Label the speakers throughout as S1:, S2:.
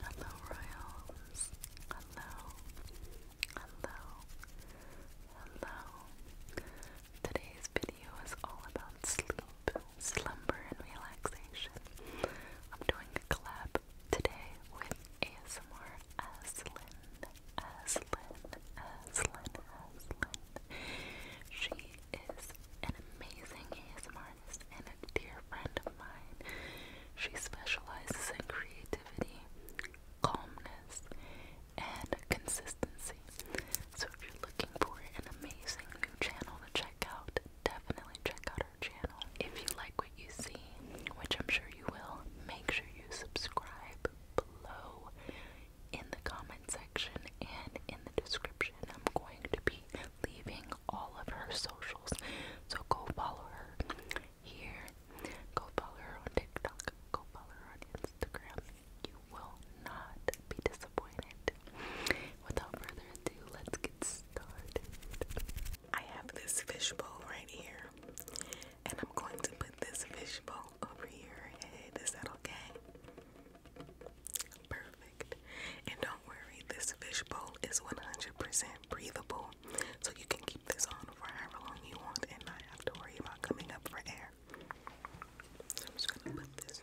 S1: Hello, Royals. Hello. Hello. Hello. Today's video is all about sleep, slumber, and relaxation. I'm doing a collab today with ASMR Aslin. Aslin. Aslin. Aslin. She is an amazing ASMR and a dear friend of mine. She specializes in creativity, calmness, and consistency. So if you're looking for an amazing new channel to check out, definitely check out her channel. If you like what you see, which I'm sure you will, make sure you subscribe below in the comment section and in the description. I'm going to be leaving all of her socials. So go follow her here. Go follow her on TikTok. Go follow her on Instagram. You will not be disappointed. Without further ado, let's get started. I have this fishbowl right here, and I'm going to put this fishbowl over your that okay? Perfect. And worry, this fishbowl is 100% breathable, so you can keep this on for however long you want and not have to worry about coming up for air. So I'm just gonna put this.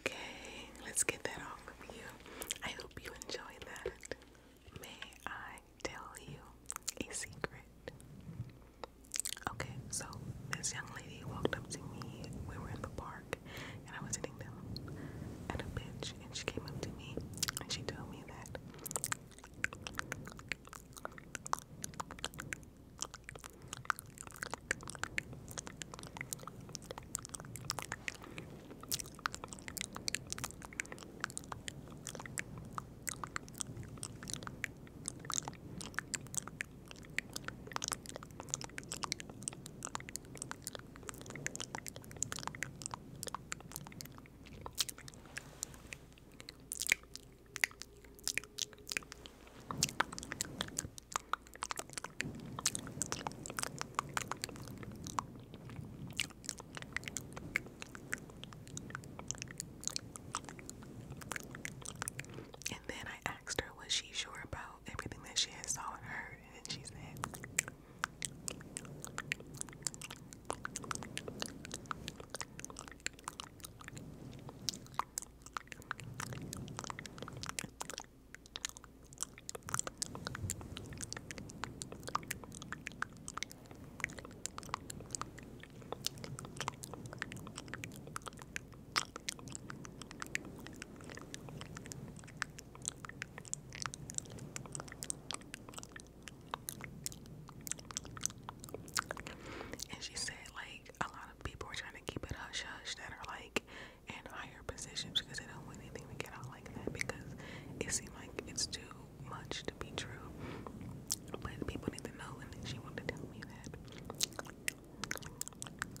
S1: Okay, let's get that off of you. I hope you enjoyed that. May I tell you a secret? Okay, so this young lady walked up to me. We were in the park and I was eating them at a bench and she came up to me and she told me that and then I asked her, was she sure about everything that she had saw and heard, and then she said, and she said, like, a lot of people are trying to keep it hush hush that are like in higher positions because they don't want anything to get out like that because it seemed like it's too much to be true. But people need to know, and she wanted to tell me that.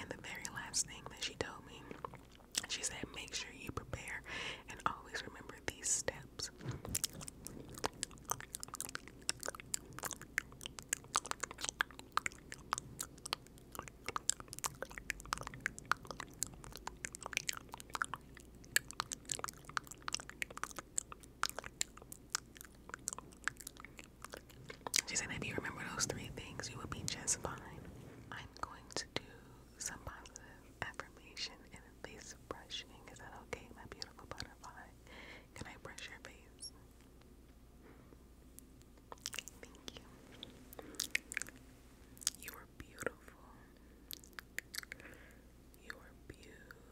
S1: And the very last thing that she told me, she said, make sure you prepare and always remember these steps. She said, if you remember those three things, you will be just fine. I'm going to do some positive affirmation and face brushing. Is that okay, my beautiful butterfly? Can I brush your face? Thank you. You are beautiful. You are beautiful.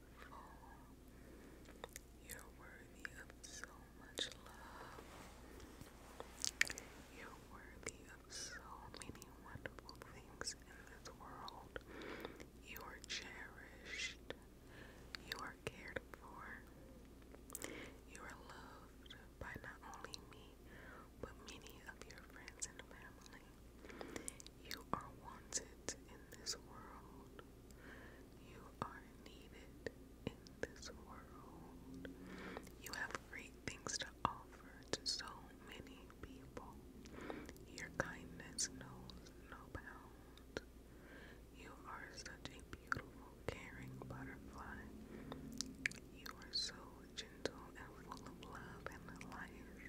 S1: You're worthy of so much love. You're worthy of so many wonderful things in this world. You are cherished. You are cared for. You are loved by not only me, but many of your friends and family. You are wanted in this world. You are needed in this world. You have great things to offer to so many people. Your kindness knows no bounds. You are such a beautiful, caring butterfly. You are so gentle and full of love and life.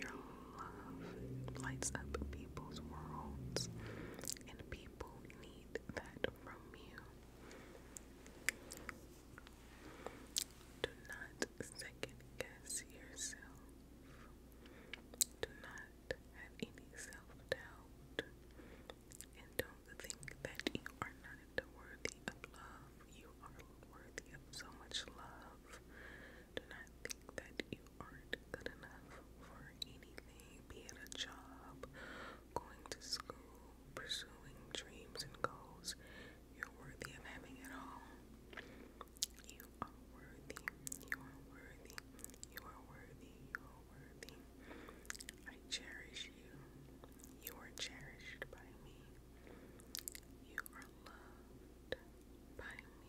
S1: Your love lights up people's worlds, and people need that from you. Do not second guess yourself. Do not have any self doubt. And don't think that you are not worthy of love. You are worthy of so much love do not think that you aren't good enough for anything, be it a job, going to school, pursuing dreams and goals. You're worthy of having it all. You are worthy. You are worthy. You are worthy. You are worthy. I cherish you. You are cherished by me. You are loved by me.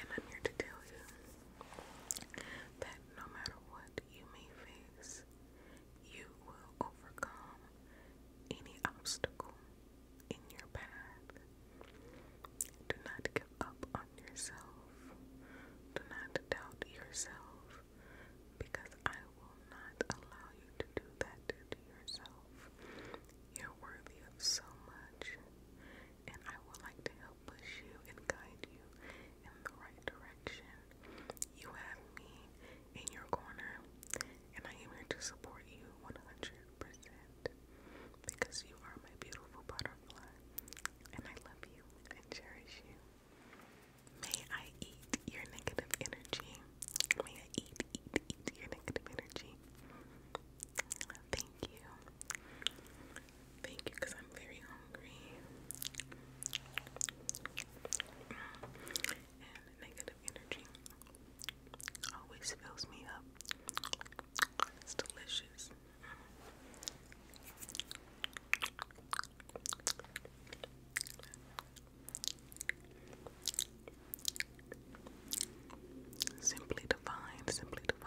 S1: And I'm here to tell you that no matter what you may face, you will overcome any obstacle in your path. Do not give up on yourself. Do not doubt yourself because I will not allow you to do that to yourself. You're worthy of so much, and I would like to help push you and guide you in the right direction. You have me in your corner, and I am here to support you 100% because you are my beautiful butterfly, and I love you and cherish you. May I eat your negative energy. May I eat your negative energy. Thank you. Thank you, because I'm very hungry. And negative energy always fills me up. It's delicious. Simply divine, simply divine.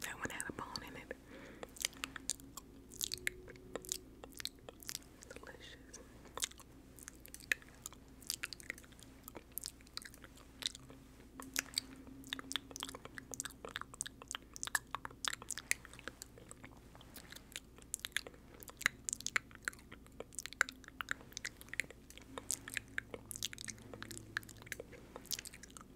S1: That one had a bone in it. Delicious.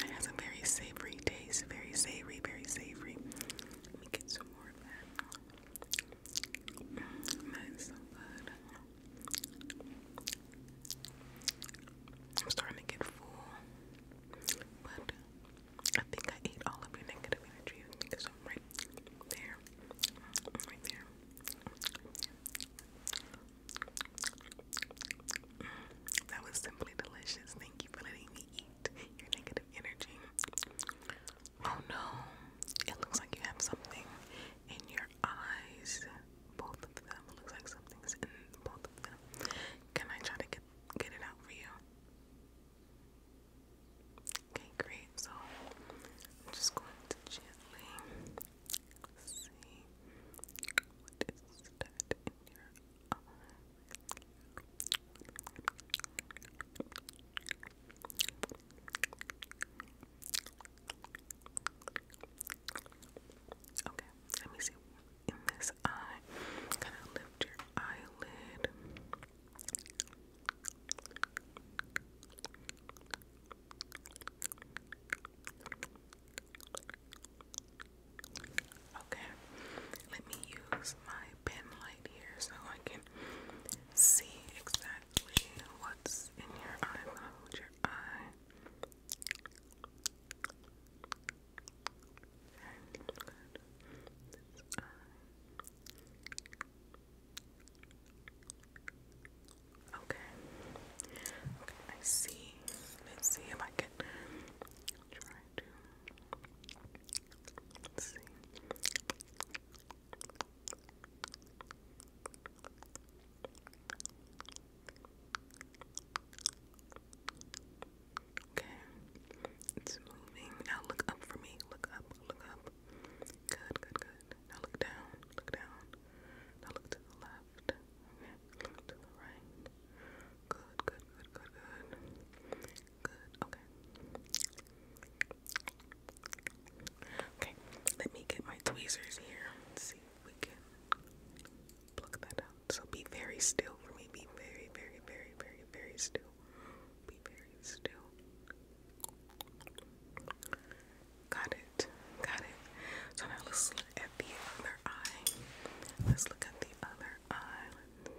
S1: It has a very savory taste, very savory, very savory. Let me get some more of that. Mm, that is so good. I'm starting to get full, but I think I ate all of your negative energy because I'm right there, right there. That was simply delicious. Thank you for letting me eat your negative energy. Oh no, it looks like you have something in your eyes. Both of them it looks like something's in both of them. Can I try to get get it out for you? Okay, great. So I'm just going to gently Okay, let me see in this eye. Kind of lift your eyelid. Okay, let me use my pen light here so I can see exactly what's in your eye. hold your eye. Okay, Okay. I see. Let's see if I Okay, it's moving. Now look up for me. Look up, look up. Good, good, good. Now look down, look down. Now look to the left look right. Good, good, good, good, good. Good, okay. Okay, let me get my tweezers here. see if we can pluck that out. So be very still for me. Be very, very, very, very, very still. Be very still. Got it. Got it. So now let's look at the eye. Let's look at the other eye. Let's see.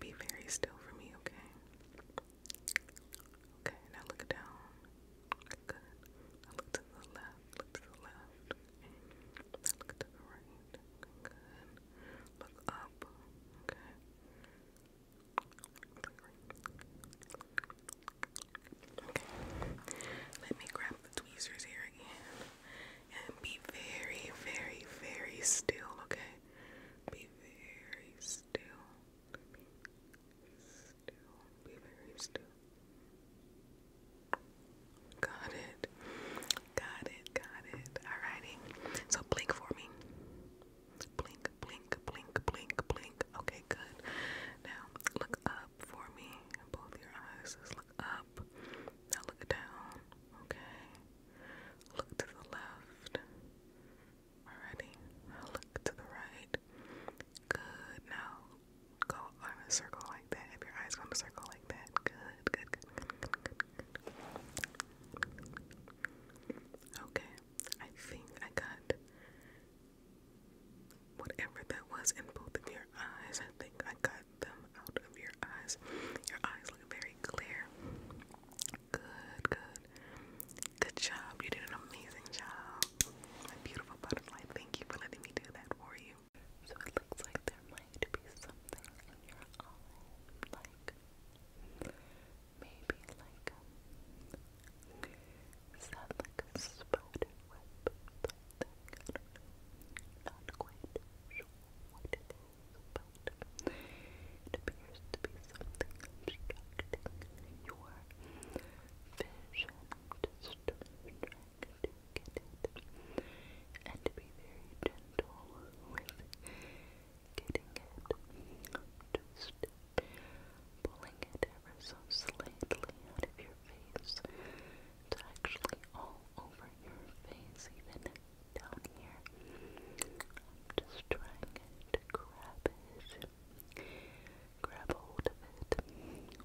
S1: Be very still for me, okay? Okay, now look down. Good. look to the left. Look to the left. look to the right. good. Look up. Okay. Okay. Let me grab the tweezers here again and be very, very, very still, okay? Be very still. still. Be very still. Got it. Got it. Got it. Alrighty. So blink for me. Blink, blink, blink, blink, blink. Okay, good. Now look up for me. Both your eyes. Just up. Now look down. Okay. Look to the left. Alrighty. Now look to the right. Good. Now go on a circle like that. If your eyes go in a circle like that. good, good, good, good. Okay. I think I got whatever that was in both of your eyes. I think I got them out of your eyes. Your eyes look very clear. Good, good. Good job. You did an amazing job. beautiful butterfly. Thank you for letting me do that for you. So it looks like there might be something in your eye. Like maybe like is that like a spotted web? something. I not quite sure what it is, but it appears to be something obstructing your vision. Just trying to it. And to be very gentle with getting it. Just pulling it ever so slightly out of your face. It's actually all over your face, even down here. I'm just trying to grab it, grab hold of it.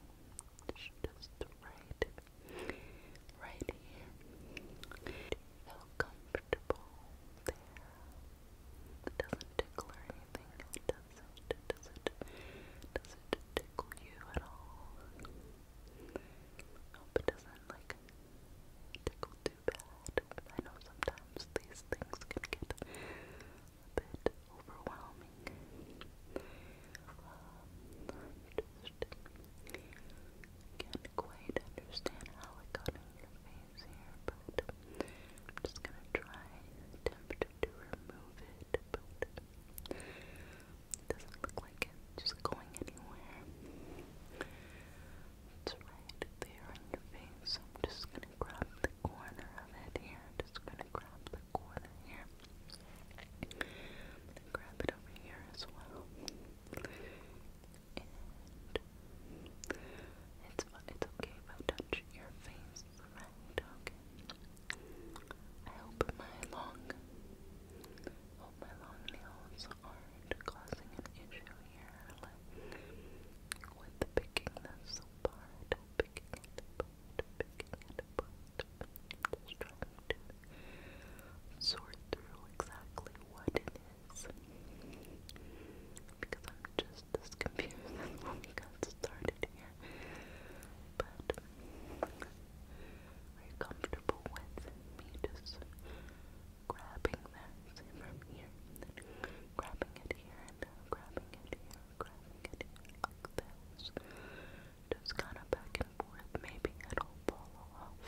S1: It's just right, right here. Do comfortable there? It doesn't tickle anything. does It does It doesn't it tickle you at all? Hope it doesn't like tickle too bad. I know sometimes these things can get a bit overwhelming. Um, just can't quite understand how it got in your face here, but I'm just gonna try attempt to remove it, but doesn't look like it's going anywhere. It's right there on your face. I'm just gonna grab the corner of it here. just gonna grab the corner here. grab it over here as well. it's it's okay if I touch your face, right? Okay. I hope my long hope my long nails aren't causing an issue here like, with picking this apart, picking it exactly what it is. Because I'm just as confused when we got started here. But are you comfortable with me just grabbing that from here grabbing it here and uh, grabbing it here, grabbing it here like this? Just kind of back and forth. Maybe it'll fall off.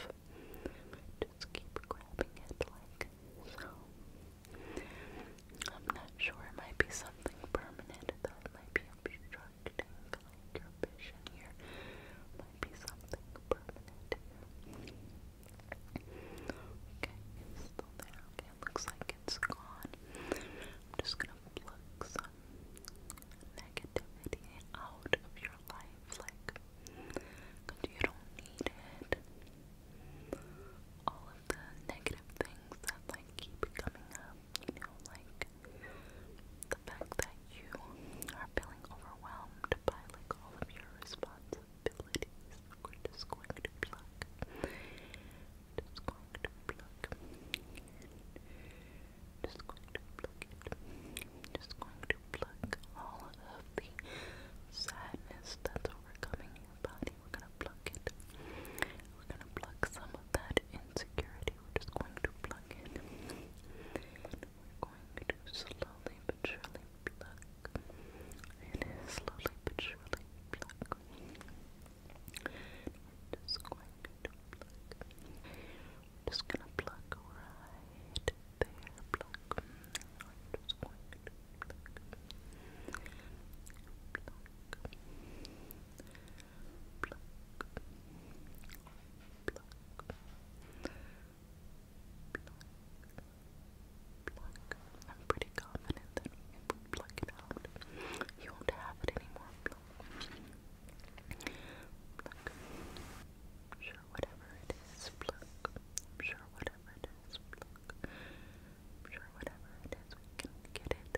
S1: Just keep grabbing it like so. I'm not sure. It might be something permanent. That might be a short acting like your vision here might be something permanent Okay, it's still there. it looks like it's gone. I'm just gonna pluck some negativity out of your life, like, you don't need it. All of the negative things that like keep coming up, you know, like the fact that you are feeling overwhelmed by like all of your responsibilities. just going to pluck. Just going to pluck. Just going to pluck all of the sadness that's overcoming your body. We're gonna pluck it. We're gonna pluck some of that insecurity we're just going to plug in. we're going to slowly but surely pluck. And slowly but surely pluck. We're just going to pluck. just gonna pluck right there. Pluck. We're just going to pluck. I'm pretty confident that if we pluck it out, you won't have it anymore. sure whatever it is, sure whatever it is, sure whatever it is, get it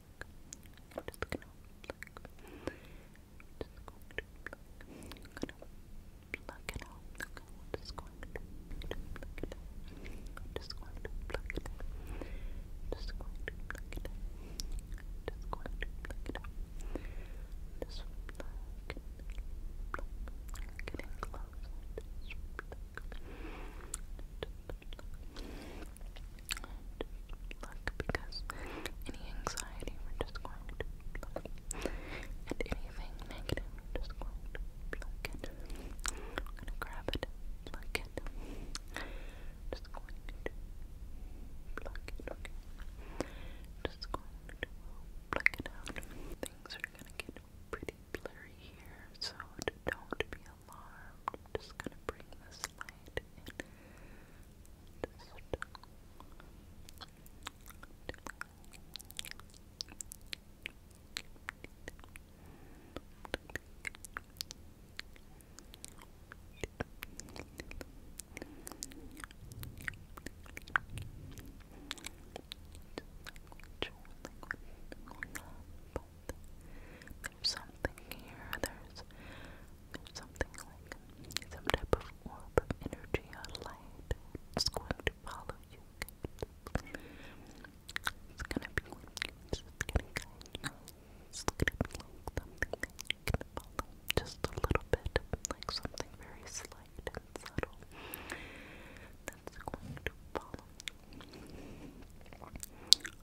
S1: pluck. I'm just gonna pluck. Just going to pluck. I'm gonna pluck it out. Okay, we're just going to pluck it out. I'm just going to pluck it out. Just going to pluck it out. Just going to pluck it out. Just pluck. Pluck. Getting closer. Just pluck. Just pluck luck because any anxiety we're just going to block. And anything negative we're just going to block it. I'm gonna grab it, pluck it. Just going to pluck it, Just going to pluck it out. Things are gonna get pretty blurry here, so don't be alarmed. just gonna bring this light in. There's something here something like some type of energy or light. It's going to follow you. It's gonna be like it's gonna guide you. It's gonna follow just a little bit, like something very slight and subtle. That's going to follow.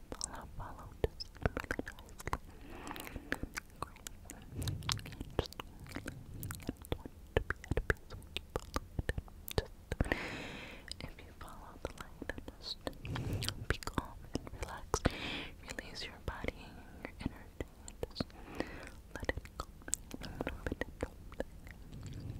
S1: follow, follow, just really nicely. Great. Just, just want to be at peace when you follow it. Just, if you follow the light, then just be calm and relaxed. Release your body, your energy, and just let it go. Don't let it go. Let it go.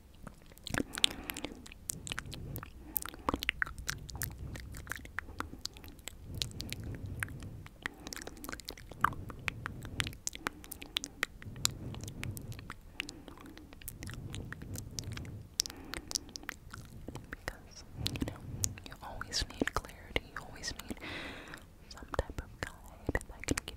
S1: Because, you know, you always need clarity, you always need some type of guide that can give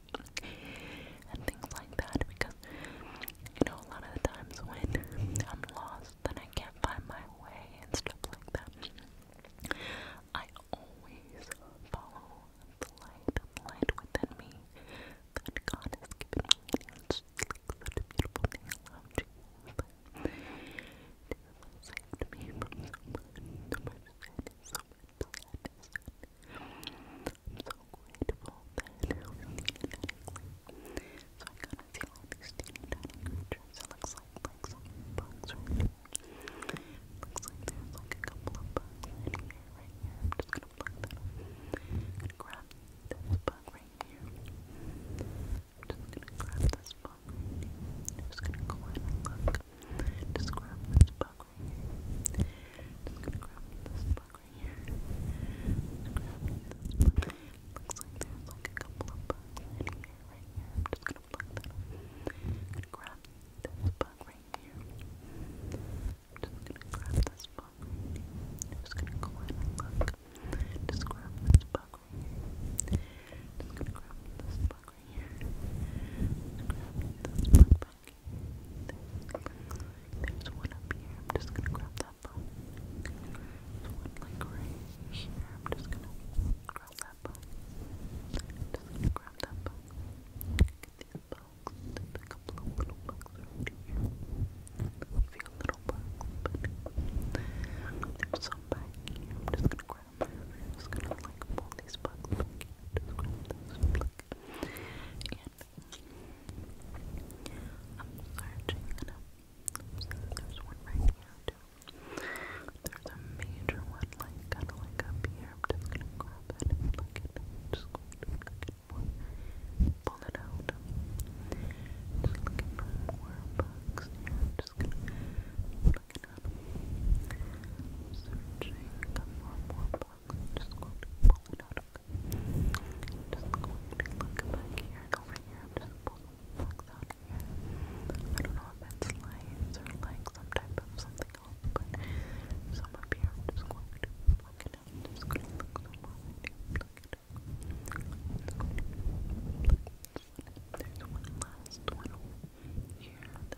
S1: and things like that because you know a lot of the times when I'm lost and I can't find my way and stuff like that, I always follow the light, the light within me that God has given me. And beautiful love Jesus. me I'm so grateful that I So I kind of see all these teeny It looks like like some bugs Looks like there's like a couple of bugs right here. I'm just gonna plug that grab this bug right here. I'm just gonna grab this bug I'm just gonna go in and look. Just grab this bug bug right Just gonna grab this bug right here. Just grab this bug. It looks like there's like a couple of right here. I'm just gonna grab this bug right here. just grab this bug right here. just grab this bug right here. Just grab this bug right here. Just grab this bug right there's one up here. I'm just gonna grab that bone. There's one right here. I'm just gonna grab that bone. Just gonna grab that bone. these bugs. a couple of little bugs right here. A little bugs, there's some back here. I'm just gonna grab I'm just gonna like pull these bugs Just grab those, pluck. I'm searching there's one right here There's a major one like kind of like up here. I'm just gonna grab it and look at it. Just going to look at more. Pull it out. Just looking for more bugs just gonna look up. Searching for more I'm just going to it out, just going look back here and over here. I'm just pulling plugs out I don't know if it's lights or like some type of something else, but some up here. just going to it out. just going look it out. just going to pluck this There's one last one here.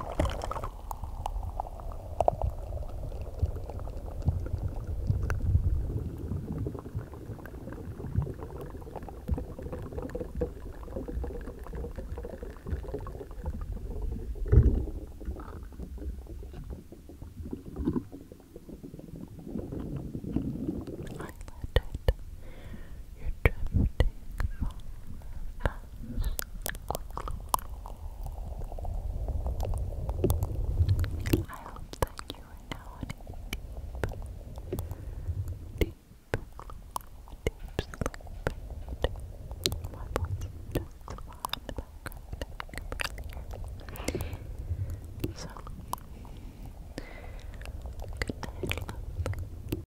S1: I let it you're drifting from I hope that you are now in a deep, deep, deep sleep. My voice is just far in the background. So, good night, love.